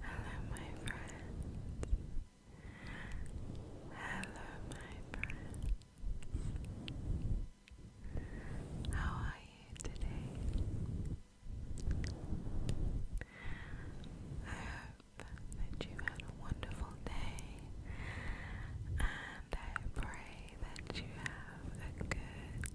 Hello, my friends. Hello, my friends. How are you today? I hope that you had a wonderful day, and I pray that you have a good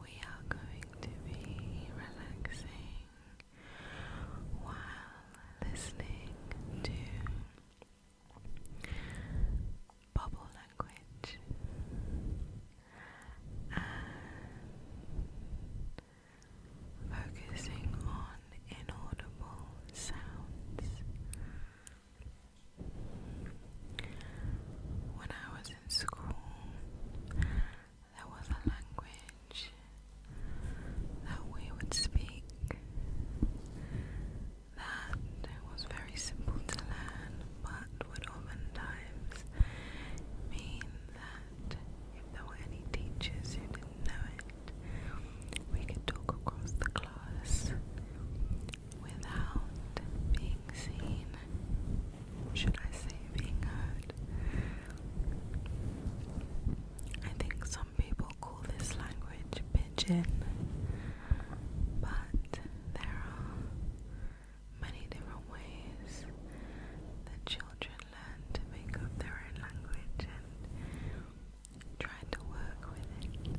we are going to be relaxing while listening to bubble language focusing on inaudible sounds. When I was in school, there was a language that we would speak that was very simple to learn but would oftentimes mean that if there were any teachers who didn't know it, we could talk across the class without being seen should I say being heard? I think some people call this language pidgin, but there are many different ways that children learn to make up their own language and try to work with it.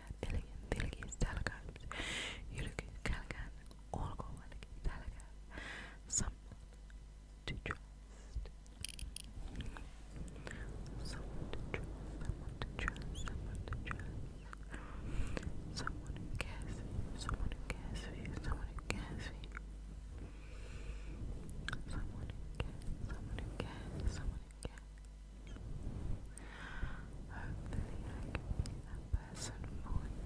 elegant, elegant, delicate, You look elegant, all go elegant, Someone to trust. Someone to trust, someone to trust, someone to trust. Someone who cares someone who cares for you, someone who cares for you. Someone who cares, someone who cares, someone Hopefully, I can be that person for you.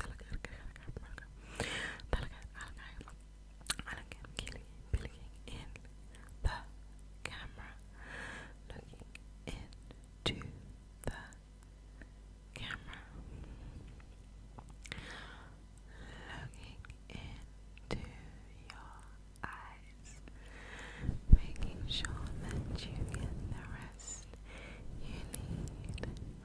I like I'm killing looking in the camera, looking into the camera, looking into your eyes, making sure that you get the rest you need.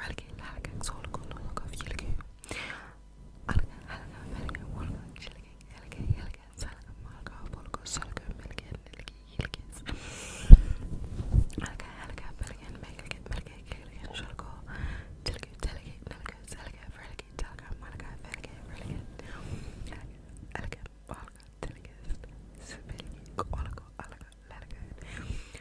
Relegate, Haligate, Solical, Nologov, Yeligate, Alligate, Haligate, Peligate, Walgate, Chilligate, Heligate, Heligate, Saligate, Malgate, Polgate, Soligate, Milligate, Lilligate, Yeligate, Alligate, Haligate, Peligate, Meligate, Meligate, Cleligate, Solical, Chilligate, Teligate, Nilligate, Saligate, Relegate, Teligate, Malgate, Feligate, Relegate, Elegate, Malgate, Teligate, Sabiligate, Oligo, Oligo, Lilligate,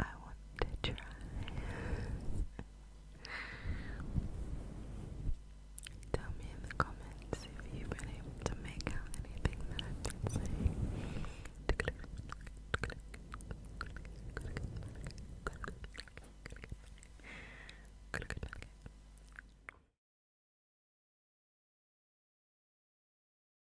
I want to try. Tell me in the comments if you've been able to make out anything that I've been saying.